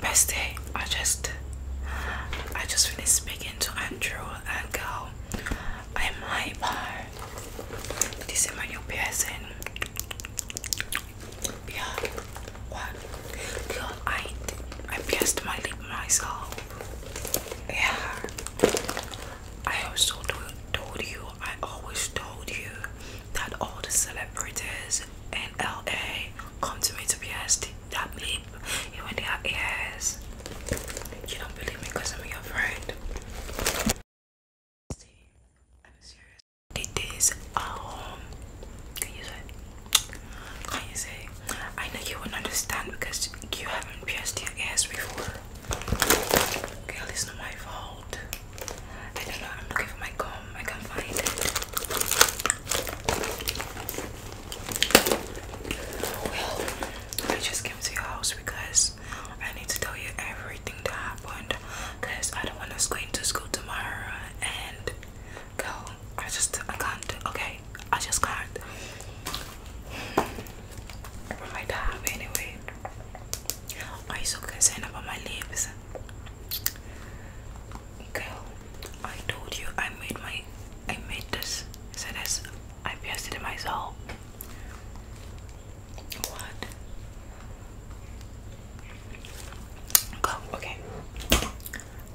Best I just I just finished speaking to Andrew and go. I'm hyper. This is my new person. Yeah. What? Girl, I I pierced my lip myself. Yeah. I also told you. I always told you that all the celebrities in LA come to me to be asked to that bleep even they are ears. You don't believe me because I'm your friend. See, I'm serious. It is um, Can you say? Can you say? I know you won't understand because you haven't pierced your ass before. Girl, it's not my fault. I don't know. I'm looking for my comb. I can't find it. Well, I just came to your house because I need to tell you everything that happened. Cause I don't want to going to school tomorrow. And girl, I just I can't. Okay, I just can't. But my dad, anyway. Are you so concerned about my lips? Girl, I told you I made my I made this. Said this. I pierced it myself. What? Go, okay.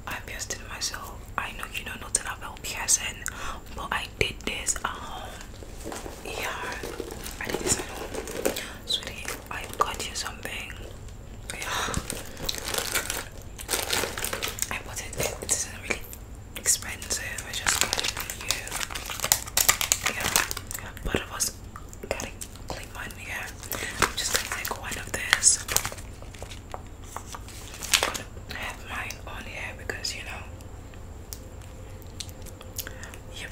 I pierced it myself. I know you know nothing about will piercing, but I did this at um, home. Yeah, I did this at home. Sweetie, I've got you something. I bought it, it isn't really expensive, I just got it new. Yeah, but it was getting clean one, yeah. I'm just gonna take one of this. gonna have mine on here because you know Yep.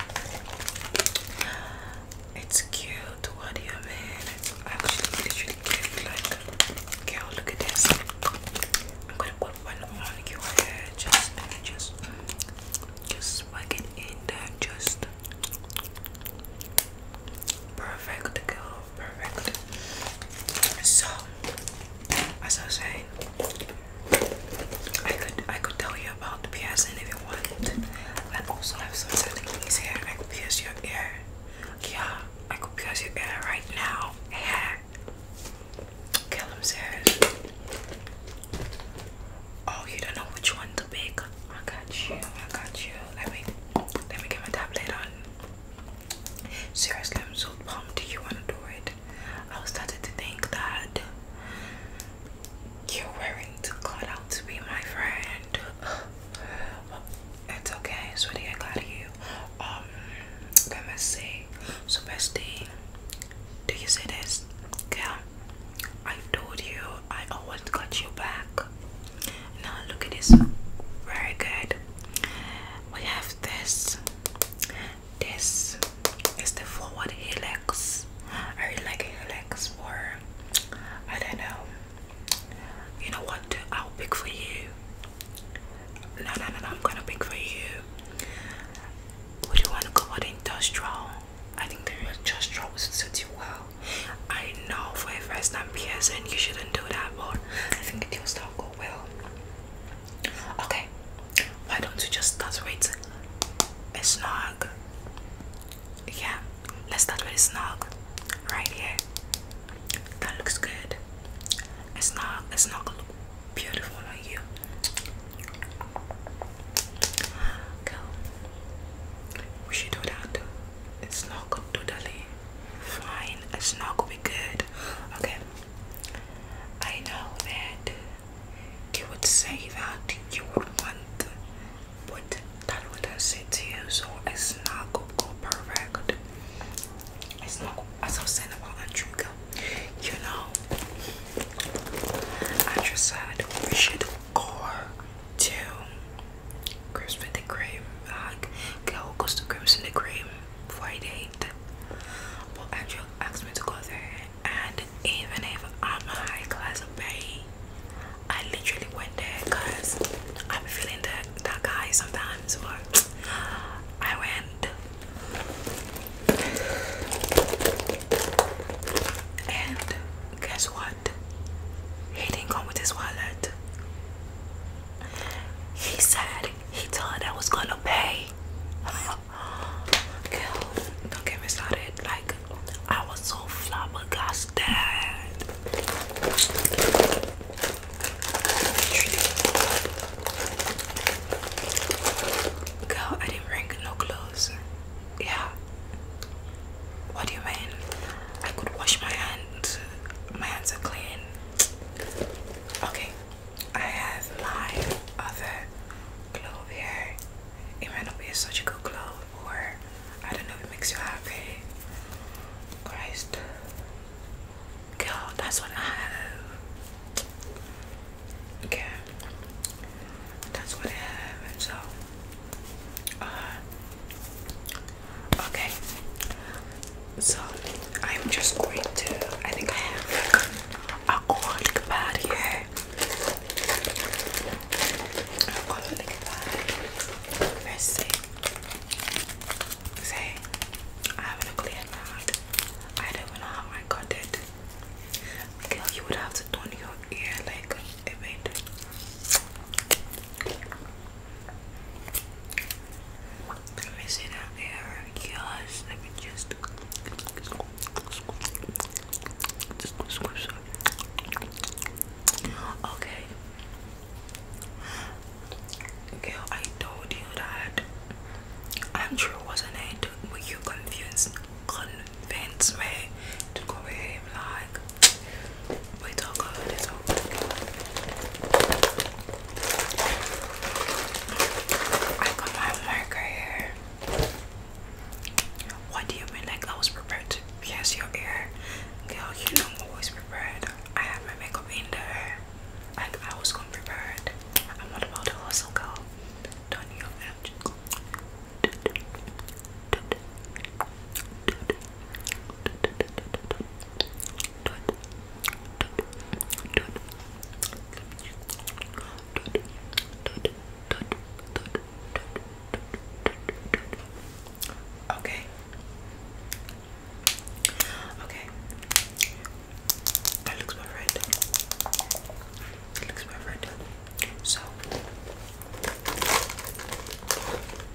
It's cute. What do you mean? It's actually literally cute. Like, girl, look at this. I'm gonna put one on your hair. Just, just, just swag it in Just perfect, girl. Perfect. So, as I was saying, I could, I could tell you you about piercing if you want. And also, I have some certain things here. I could pierce your ear. Yeah, I could pierce your ear right now. Yeah. Okay, I'm Oh, you don't know which one to pick. I got you. I got you. Let me let me get my tablet on. Seriously, i so pumped. Do you wanna do it? I was starting to think that you're wearing too cut out to be my friend. Well, it's okay, sweetie. I got you. Um, let me see. So, bestie, do you see this? Girl, I told you I always got you back. Now, look at this. Very good. We have this. This is the forward helix. I really like thanks I don't know. You know what? I'll pick for you. No, no, no, I'm gonna pick for you. Would you want to go for industrial? I think the industrial would suit you well. I know for a first time piercing you shouldn't do that, but I think it will still go well. Okay, why don't you just start It's not. snug? yeah, let's start with a snog right here. That looks good. A snog, a snog look beautiful on you. Girl, we should do that. A snog totally fine. A snog will be good. Okay, I know that you would say that you would want what that with that to you, so it's not gonna go perfect. It's not as I was saying about Andrinka, you know. I just said we should go to Crimson the Cream, like go goes to in the Cream Friday. But Andrew asked me to go there and even if I'm a high class pay, I literally went there because I'm feeling that that guy sometimes. But I went, and guess what? He didn't come with his wallet. He said he thought I was gonna pay. Girl, don't get me started. Like, I was so flabbergasted. Girl, I didn't bring no clothes. Yeah. What do you mean? I could wash my hands. My hands are clean. Okay. I have my other glove here. It might not be a surgical glove, or I don't know if it makes you happy. Christ. Girl, that's what I have. Okay. That's what I have. so uh okay. So I'm just going to I think I have a cold bad here. I'm gonna look that. Let's see. Say, I have a clear mouth. I don't know how I got it. Girl, you would have to turn your ear like a bit. Let me see that ear. Yes, let me just. Okay. Girl, I told you that. Andrew wasn't it? Were you convinced Convince me to go behave like. Wait, all good. It's I got my marker here. What do you mean? Like I was prepared. Yes, your ear, girl. You know I'm always prepared. I have my makeup in there. Like I was gonna prepared. I'm not about to hustle, girl. Don't you Okay. Okay. That looks perfect. That looks perfect. So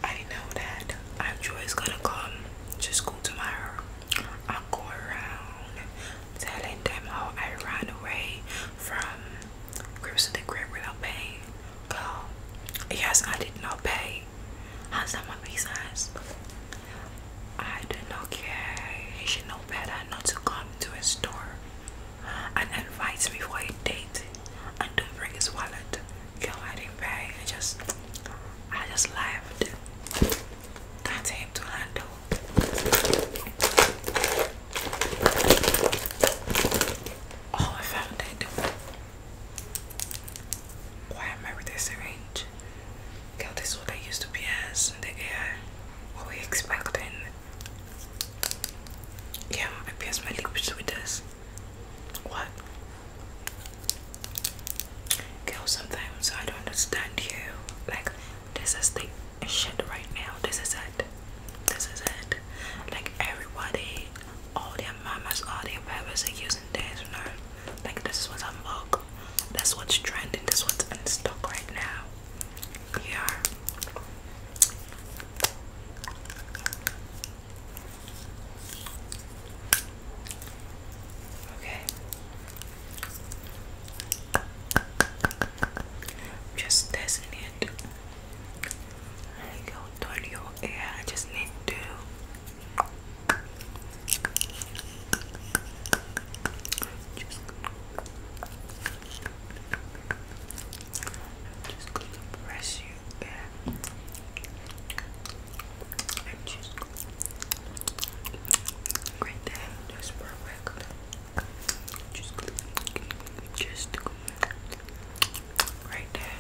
I know that i is gonna come to school tomorrow. I'll go around telling them how I ran away from grips to the grip without paying. Girl, yes, I did not pay. How's that my business? I do not care. He should know better not to come to a store and invite me for a date and don't bring his wallet. Girl, I didn't pay. I just, I just left. That's him to handle. Oh, I found that dude. Why I remember this range? Girl, this is I used to be as the air. What we expecting? Yeah, I pierced my lips with this. What? Girl, sometimes I don't understand you. Like, this is the shit right now. This is it this is it. Like everybody, all their mamas, all their parents are using this, you know. Like this is what's on vogue. That's what's trending. This what's in stock right now. Yeah. Okay. Just testing it. Yo, turn your ear. I just need to. Just, press you in. And just. Great day. That's perfect. Just just right there.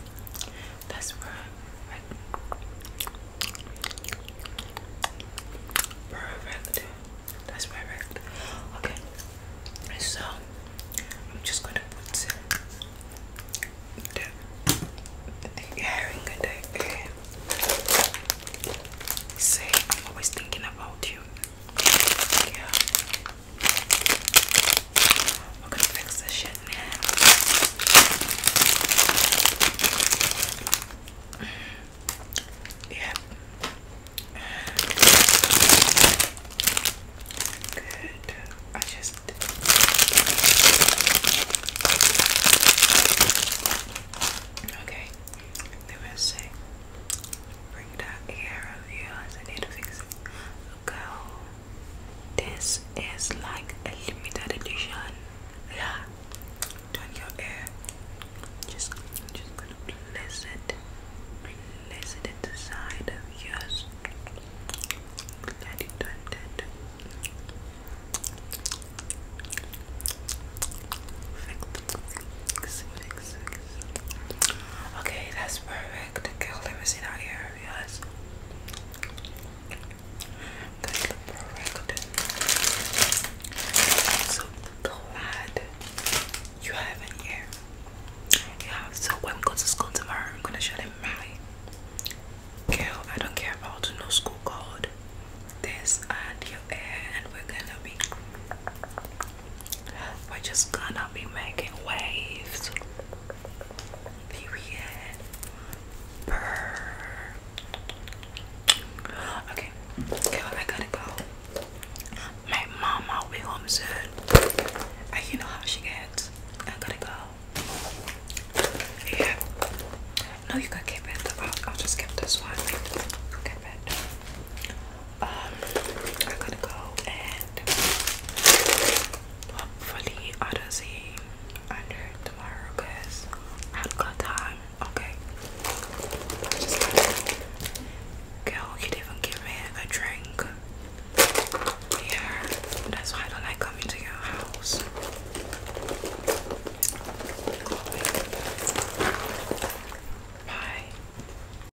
That's where right. Perfect. That's perfect. Okay. So I'm just gonna put the, the earring in the ear. Say, I'm always thinking about you. Yeah. I'm gonna fix this shit now. Yep. Good. I just. Okay. Let me see bring that hair of yours. I need to fix it. Girl, this is like a limited edition. Yeah, turn your hair. Just, just gonna place it, place the side of yours. Let it turn that. Fix, fix, fix, Okay, that's perfect. Okay, let me see that here. Yes. That I'm so glad you have it here. Yeah, so when we go to school tomorrow, I'm gonna show them my girl. I don't care about no school code. This and your hair, and we're gonna be we're just gonna be making waves. Period. Okay, okay, I gotta go. My mama will be home soon. And you know how she gets. I gotta go. Yeah. No, you can keep it. I'll, just keep this one. Keep it. Um, I'm gonna go and hopefully I don't see under tomorrow because I've got time. Okay, girl, you didn't give me a drink. Yeah, that's why don't like coming to your house. Bye.